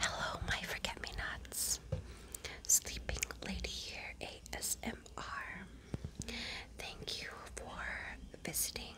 Hello, my forget me nots. Sleeping Lady here, ASMR. Thank you for visiting.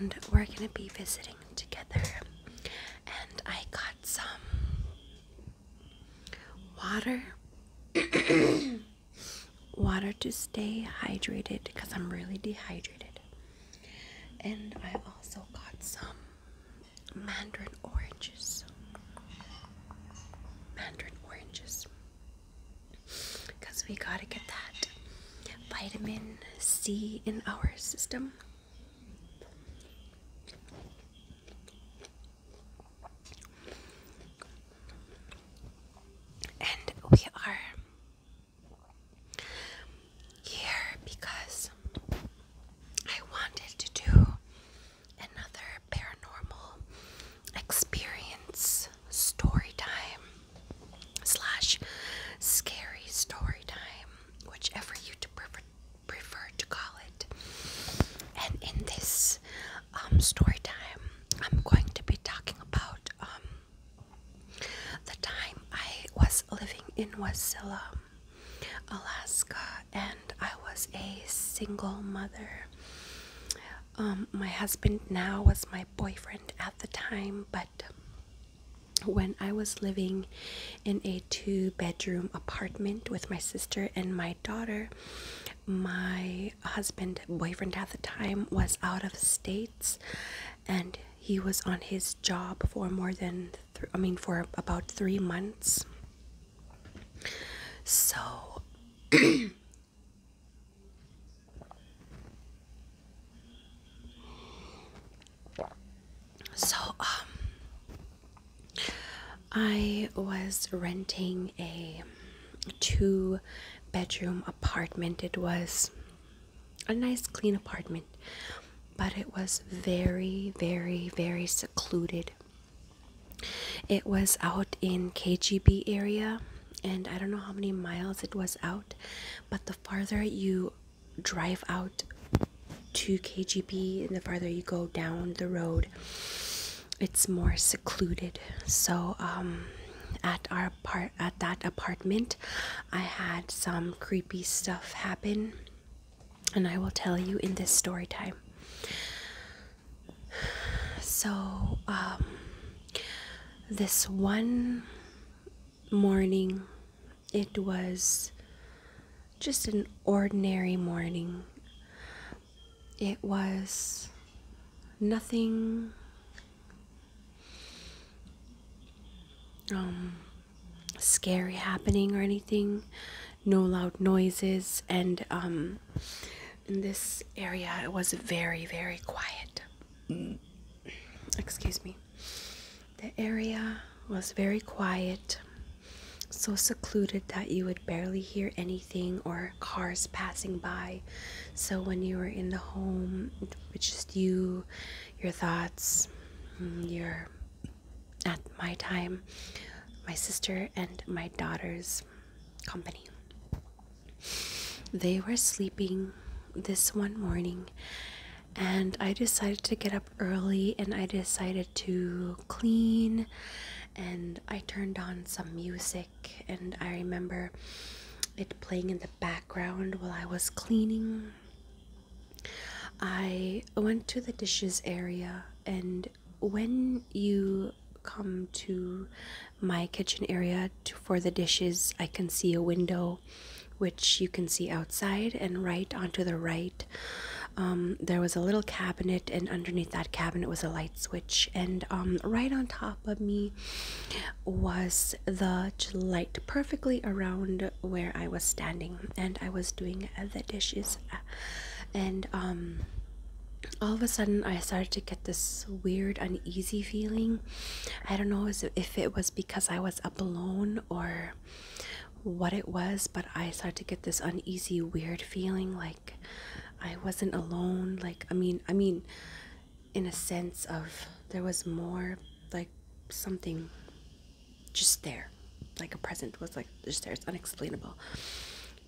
And we're gonna be visiting together. And I got some water. water to stay hydrated because I'm really dehydrated. And I also got some mandarin oranges. Mandarin oranges. Because we gotta get that vitamin C in our system. And we are here because I wanted to do another paranormal experience story time slash scary story time, whichever you prefer, to call it. And in this um, story time, I'm going to be talking about um, the time I was living in Wasilla, um, Alaska, and I was a single mother. Um, my husband now was my boyfriend at the time, but when I was living in a two bedroom apartment with my sister and my daughter, my husband, boyfriend at the time, was out of states and he was on his job for more than I mean for about 3 months. So So um I was renting a two bedroom apartment. It was a nice clean apartment, but it was very, very, very secluded. It was out in KGB area, and I don't know how many miles it was out, but the farther you drive out to KGB and the farther you go down the road, it's more secluded. So um, at our part at that apartment apartment, I had some creepy stuff happen, and I will tell you in this story time. So, um, this one morning, it was just an ordinary morning. It was nothing um scary happening or anything no loud noises and um, in this area it was very very quiet mm. excuse me the area was very quiet so secluded that you would barely hear anything or cars passing by so when you were in the home it was just you your thoughts you're at my time, my sister and my daughter's company. They were sleeping this one morning, and I decided to get up early and I decided to clean. And I turned on some music, and I remember it playing in the background while I was cleaning. I went to the dishes area, and when you come to my kitchen area for the dishes, I can see a window which you can see outside, and right onto the right, um, there was a little cabinet, and underneath that cabinet was a light switch, and um, right on top of me was the light perfectly around where I was standing and I was doing the dishes and um, all of a sudden I started to get this weird uneasy feeling. I don't know if it was because I was up alone or what it was, but I started to get this uneasy weird feeling like I wasn't alone, like I mean, I mean in a sense of there was more like something just there, like a present was like just there. It's unexplainable.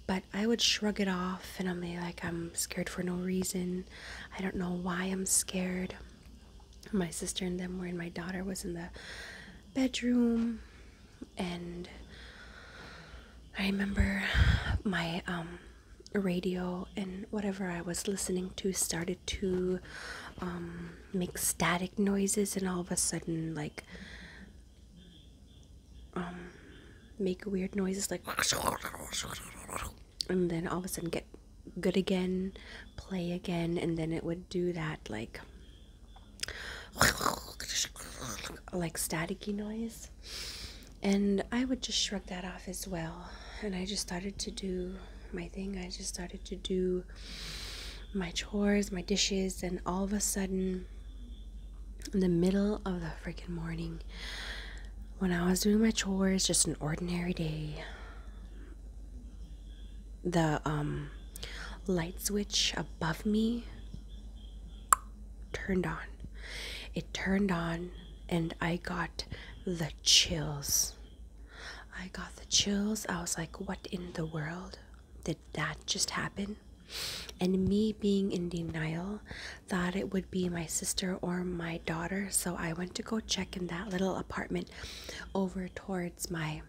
But I would shrug it off, and I'm like, I'm scared for no reason. I don't know why I'm scared. My sister and them were, in my daughter was in the bedroom, and I remember my um, radio and whatever I was listening to started to um, make static noises and all of a sudden like um, make weird noises like and then all of a sudden get good again play again and then it would do that like like staticky noise and i would just shrug that off as well and I just started to do my thing. I just started to do my chores, my dishes, and all of a sudden, in the middle of the freaking morning, when I was doing my chores, just an ordinary day, the um, light switch above me turned on. It turned on, and I got the chills. I got the chills. I was like, what in the world? Did that just happen? And me being in denial, thought it would be my sister or my daughter. So I went to go check in that little apartment over towards my,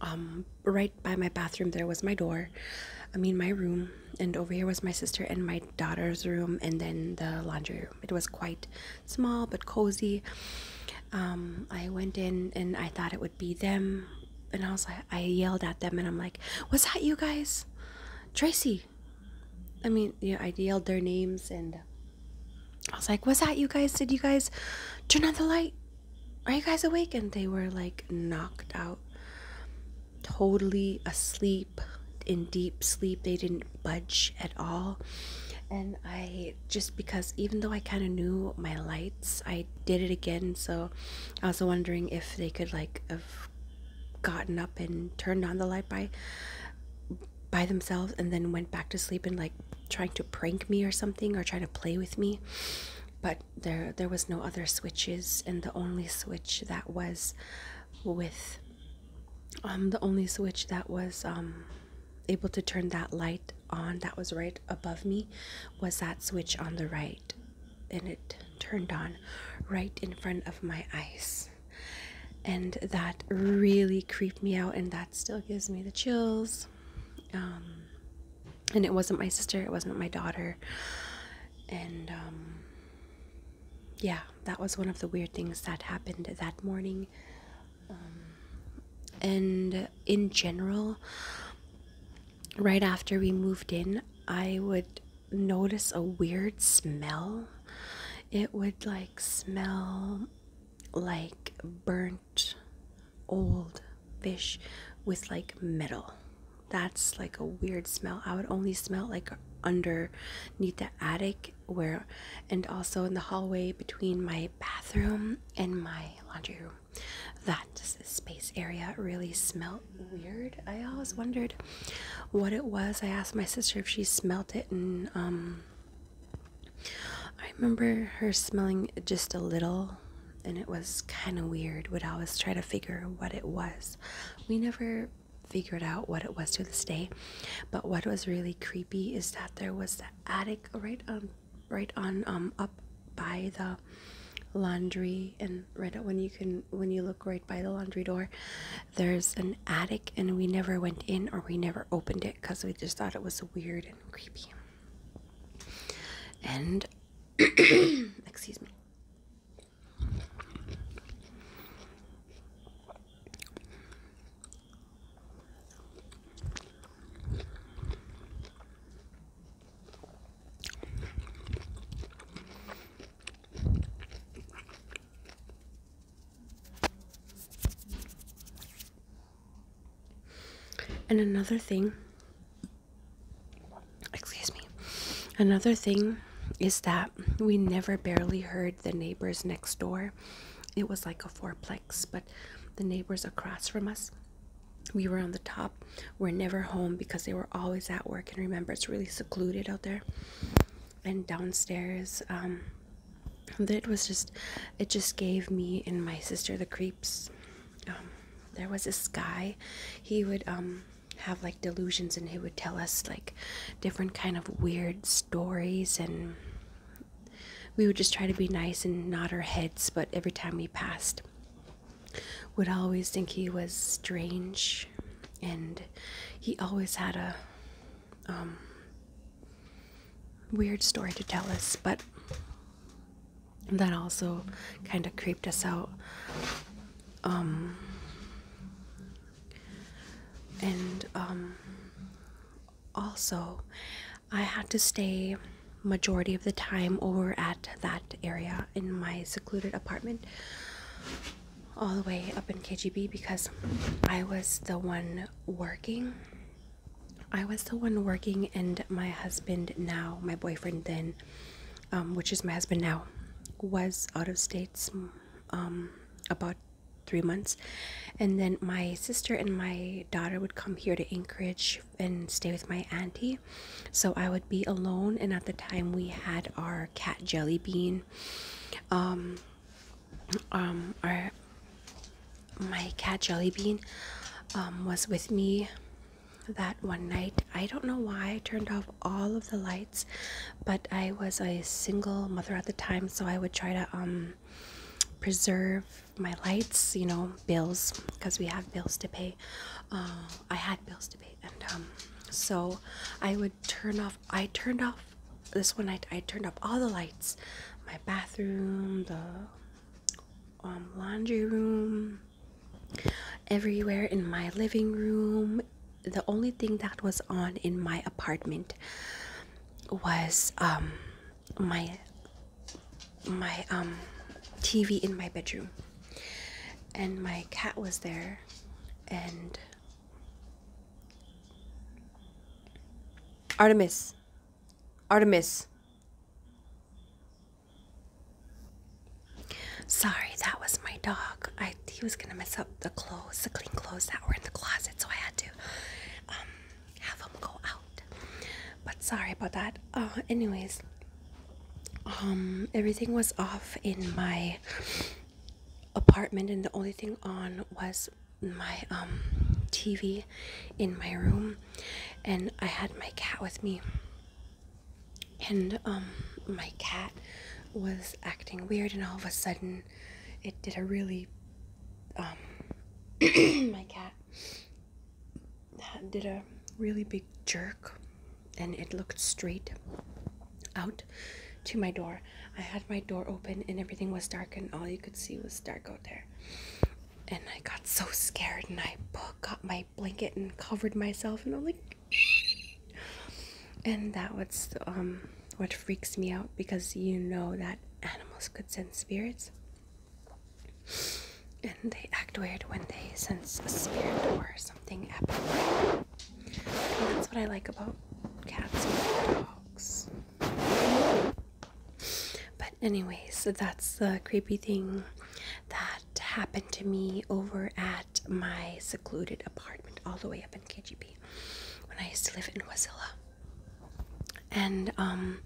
um, right by my bathroom. There was my door, I mean, my room. And over here was my sister and my daughter's room, and then the laundry room. It was quite small but cozy. Um, I went in and I thought it would be them, and I was like, I yelled at them, and I'm like, "Was that you guys, Tracy?" I mean, yeah, I yelled their names, and I was like, "Was that you guys? Did you guys turn on the light? Are you guys awake?" And they were like knocked out, totally asleep in deep sleep. They didn't budge at all and i just because even though i kind of knew my lights i did it again so i was wondering if they could like have gotten up and turned on the light by by themselves and then went back to sleep and like trying to prank me or something or trying to play with me but there there was no other switches and the only switch that was with um, the only switch that was um, able to turn that light on that was right above me was that switch on the right, and it turned on right in front of my eyes. And that really creeped me out, and that still gives me the chills. Um, and it wasn't my sister, it wasn't my daughter. And um, yeah, that was one of the weird things that happened that morning. Um, and in general right after we moved in i would notice a weird smell it would like smell like burnt old fish with like metal that's like a weird smell i would only smell like underneath the attic where and also in the hallway between my bathroom and my laundry room that space area really smelled weird i always wondered what it was i asked my sister if she smelt it and um i remember her smelling just a little and it was kind of weird would always try to figure what it was we never figured out what it was to this day. But what was really creepy is that there was the attic right on, right on, um, up by the laundry and right when you can when you look right by the laundry door there's an attic and we never went in or we never opened it because we just thought it was weird and creepy and excuse me and another thing, excuse me, another thing is that we never barely heard the neighbors next door. It was like a fourplex, but the neighbors across from us, we were on the top, were never home because they were always at work. And remember, it's really secluded out there. And downstairs, um, it was just, it just gave me and my sister the creeps. Um, there was this guy, he would, um, have like delusions and he would tell us like different kind of weird stories and we would just try to be nice and nod our heads, but every time we passed, would always think he was strange, and he always had a um, weird story to tell us, but that also kind of creeped us out. Um, and um, also I had to stay majority of the time over at that area in my secluded apartment all the way up in KGB because I was the one working. I was the one working, and my husband now, my boyfriend then, um, which is my husband now, was out of states um, about three months and then my sister and my daughter would come here to anchorage and stay with my auntie so i would be alone and at the time we had our cat jelly bean um um our my cat jelly bean um was with me that one night i don't know why i turned off all of the lights but i was a single mother at the time so i would try to um, preserve my lights you know bills because we have bills to pay uh, i had bills to pay and um, so i would turn off i turned off this one i, turned off all the lights my bathroom the um, laundry room everywhere in my living room the only thing that was on in my apartment was um my my um TV in my bedroom and my cat was there and Artemis Artemis Sorry, that was my dog. I he was gonna mess up the clothes, the clean clothes that were in the closet, so I had to um, have them go out. But sorry about that. Uh, anyways, um, everything was off in my apartment, and the only thing on was my um, TV in my room, and I had my cat with me. And my cat was acting weird, and all of a sudden, it did a really um, my cat uh, did a really big jerk and it looked straight out to my door. I had my door open and everything was dark and all you could see was dark out there. And I got so scared and I got my blanket and covered myself and I'm like and that was um, which freaks me out because you know that animals could sense spirits. And they act weird when they sense a spirit or something abnormal. that's what I like about cats and dogs. But anyways, that's the creepy thing that happened to me over at my secluded apartment all the way up in KGB when I used to live in Wasilla. And um,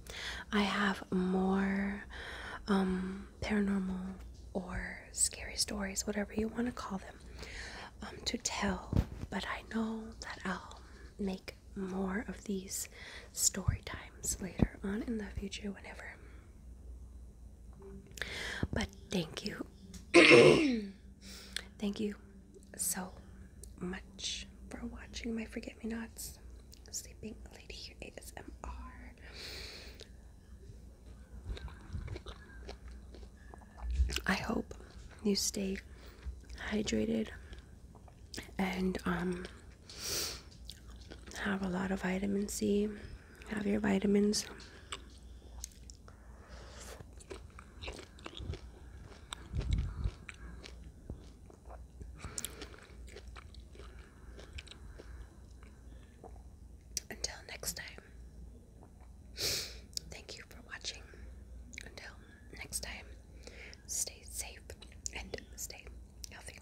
I have more um, paranormal or scary stories, whatever you want to call them, um, to tell. But I know that I'll make more of these story times later on in the future, whenever. But thank you. thank you so much for watching my Forget Me Nots Sleeping Lady ASMR. I hope you stay hydrated and um, have a lot of vitamin C. Have your vitamins. Until next time, thank you for watching. Until next time, stay safe and stay healthy.